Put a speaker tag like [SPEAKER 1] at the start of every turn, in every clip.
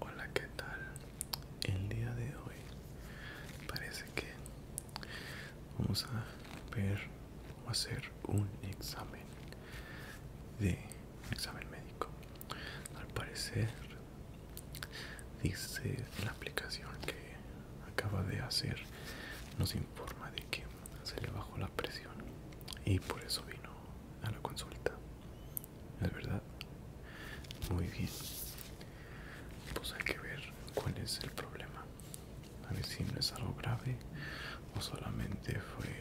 [SPEAKER 1] Hola, ¿qué tal? El día de hoy parece que vamos a ver o hacer un examen de examen médico. Al parecer dice la aplicación que acaba de hacer nos informa de que se le bajó la presión y por eso vino a la consulta es verdad muy bien pues hay que ver cuál es el problema a ver si no es algo grave o solamente fue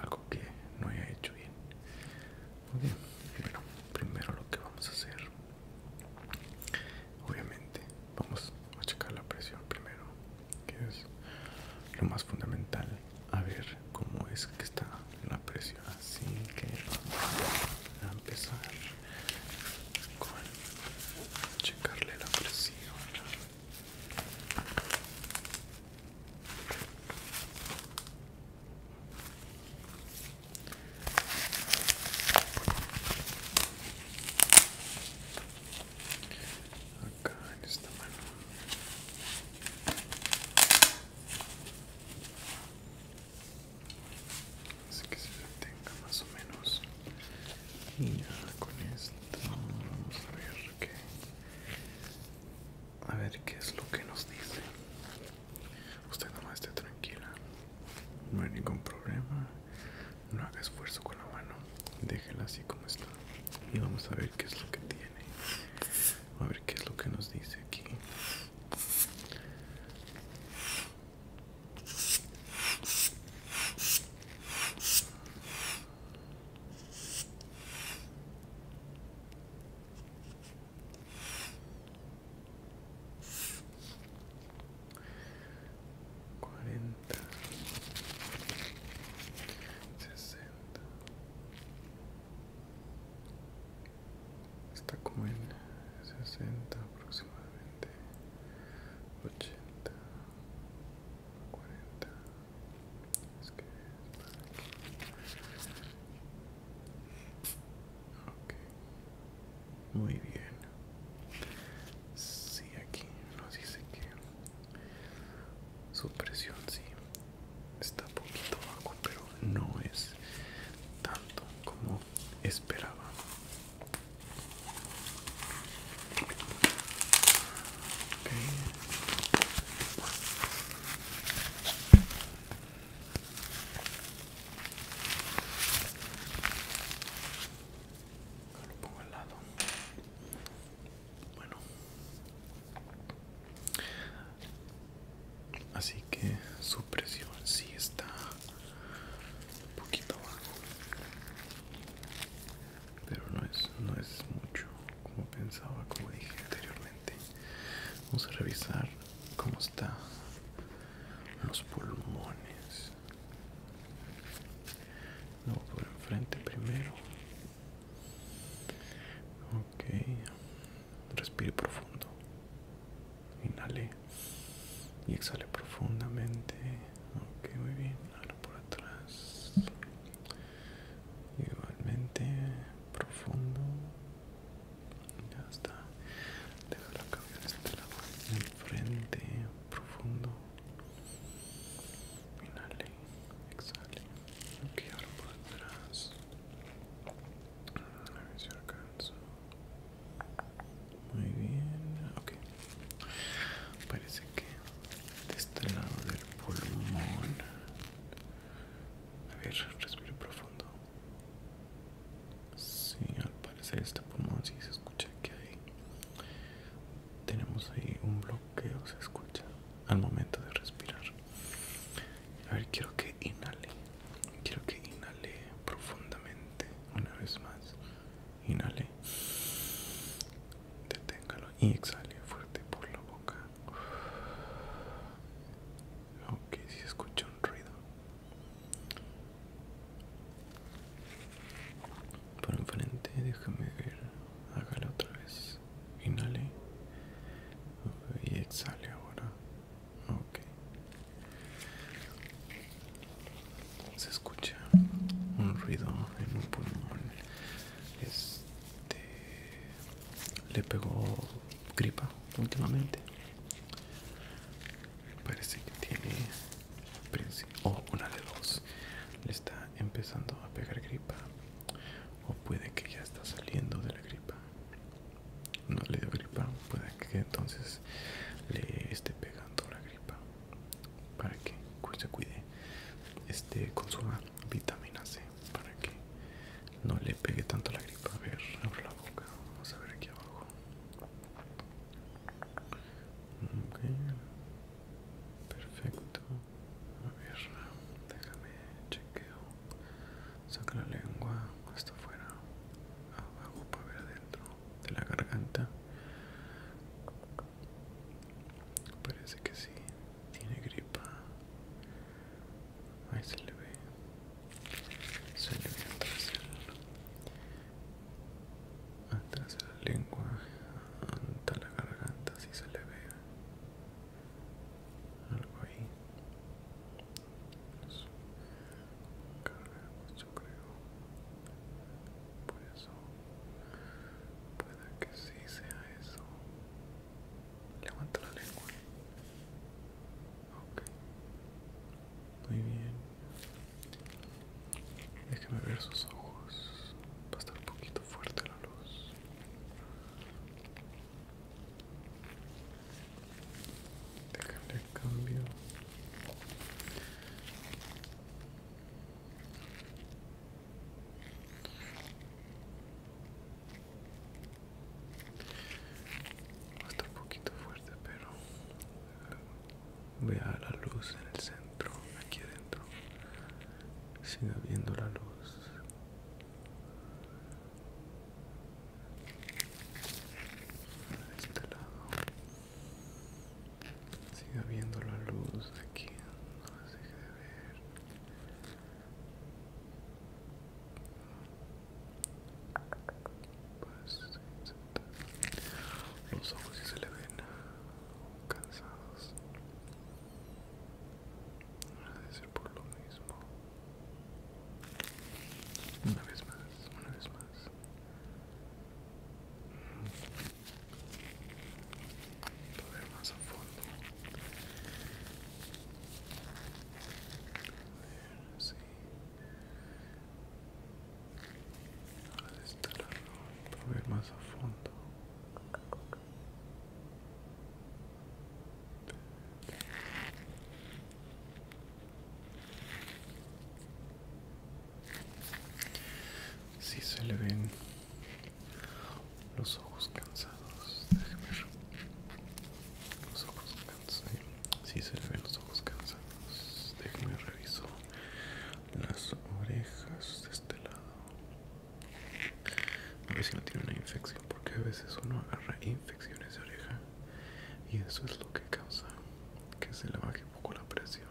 [SPEAKER 1] algo que no he hecho bien muy bien primero lo que vamos a hacer obviamente vamos a checar la presión primero que es lo más fundamental a ver cómo es que está la presión así que vamos a empezar con checarle la presión acá en esta mano Así que se detenga más o menos. Y ya con esto vamos a ver qué. A ver qué es lo que nos dice. Usted no más esté tranquila. No hay ningún problema. No haga esfuerzo con la mano. Déjela así como está. Y vamos a ver qué es lo que tiene. A ver qué es lo que nos dice aquí. 40 está como en 60 aproximadamente 80 40 es que muy bien si sí, aquí sé si que su presión sí está un poquito bajo pero no es tanto como esperaba Lo pongo al lado bueno. Así que su presión sí está un poquito bajo. Pero no es, no es mucho como pensaba, como dije anteriormente. Vamos a revisar cómo están los pulmones. Luego por enfrente primero ok respire profundo inhale y exhale profundamente ok muy bien ahora por atrás igualmente profundo ya está deja la cabeza de este lado enfrente profundo Inhale, exhale. Ok, ahora por atrás. Mm, a ver si alcanzo. Muy bien, ok. Parece que de este lado del pulmón. A ver, respiro profundo. Sí, al parecer este pulmón sí se escucha que hay tenemos ahí un bloqueo se escucha al momento de respirar a ver quiero que inhale quiero que inhale profundamente una vez más inhale deténgalo y exhale fuerte por la boca ok si escucha un ruido por enfrente, déjame ver. hágale otra vez. Inhale. Y exhale ahora. Ok. Se escucha un ruido en un pulmón. Este. Le pegó gripa últimamente. Parece que tiene o una de dos. Le está empezando a pegar gripa. O puede que ya está saliendo de la gripa. No le dio gripa. Puede que entonces le esté pegando la gripa. Para que se cuide. Este consuma vitamina C. Para que no le pegue tanto la gripa. A ver, abro la boca. Vamos a ver aquí abajo. Perfecto. A ver, déjame chequeo. Saca la lengua hasta afuera, abajo para ver adentro de la garganta. Parece que sí, tiene gripa. Ahí se le ve. Se le ve atrás de la lengua hasta la garganta si se le ve algo ahí eso pues, cargamos yo creo por eso puede que sí sea eso levanta la lengua ok muy bien Déjeme ver sus ojos. Va a estar un poquito fuerte la luz. el cambio. Va a estar un poquito fuerte, pero Vea la luz en el centro, aquí adentro. Siga viendo la luz. De este lado. Siga viendo la luz aquí. No se deje de ver los ojos y se le ven cansados. No de ser por lo mismo. Una vez más, una vez más. más a fondo. Ahora se para ver más a fondo. Si sí se le ven los ojos cansados, déjeme los ojos si se le ven los ojos cansados. Déjame reviso las orejas de este lado. A ver si no tiene una infección, porque a veces uno agarra infecciones de oreja y eso es lo que causa que se le baje un poco la presión.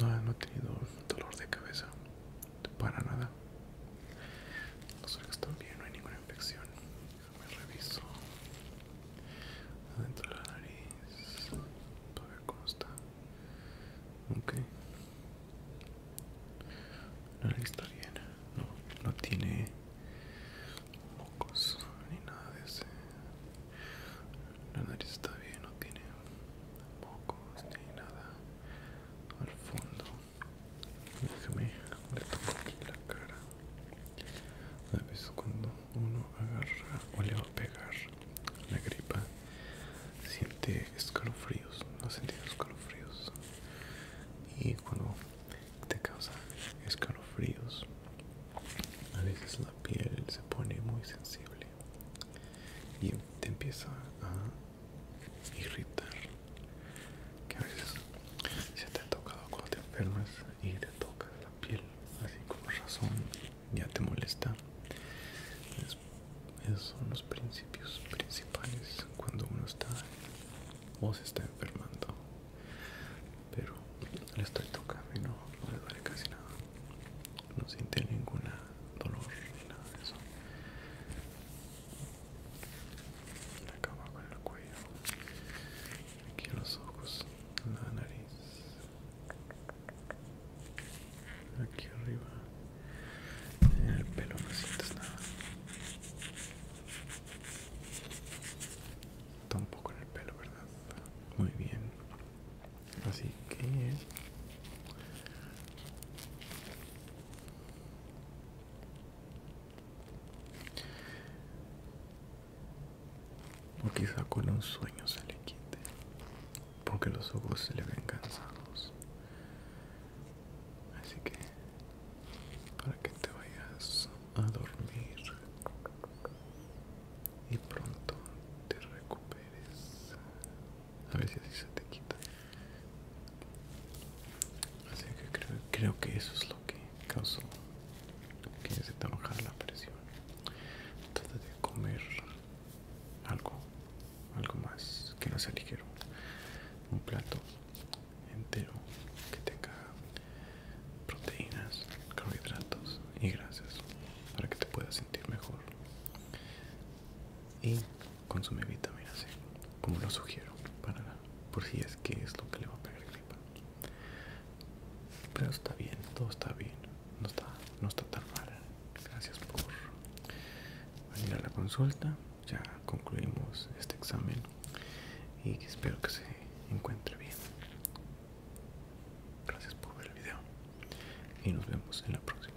[SPEAKER 1] No, no tenido dolor de cabeza para nada. Las orejas están bien, no hay ninguna infección. Me reviso adentro de la nariz para ver cómo está. Ok, la nariz está bien, no, no tiene mocos ni nada de ese. La nariz está bien, no tiene mocos ni nada al fondo. Déjame, retomar aquí la cara. A veces cuando uno agarra o le va a pegar la gripa, siente escalofríos, no sentido escalofríos. Y cuando te causa escalofríos, a veces la piel se pone muy sensible y te empieza a irritar que a veces se te ha tocado cuando te enfermas y te tocas la piel así como razón ya te molesta esos son los principios principales cuando uno está o se está enfermando pero le estoy tocando y no, le duele casi nada no siente ninguna dolor ni nada de eso acá abajo con el cuello, aquí los ojos, la nariz, aquí arriba, en el pelo no sientes nada, tampoco en el pelo, ¿verdad? Muy bien, así que o quizá con un sueño se le quite, porque los ojos se le ven cansados. Así que, para que te vayas a dormir y pronto te recuperes a ver si así se te quita así que creo, creo que eso es lo que causó que se te la presión trata de comer algo algo más que no sea ligero un plato entero que tenga proteínas carbohidratos y grasas para que te puedas sentir mejor y consume vitamina C, como lo sugiero, para por si es que es lo que le va a pegar gripa. Pero está bien, todo está bien, no está, no está tan mal. Gracias por venir a la consulta. Ya concluimos este examen y espero que se encuentre bien. Gracias por ver el video y nos vemos en la próxima.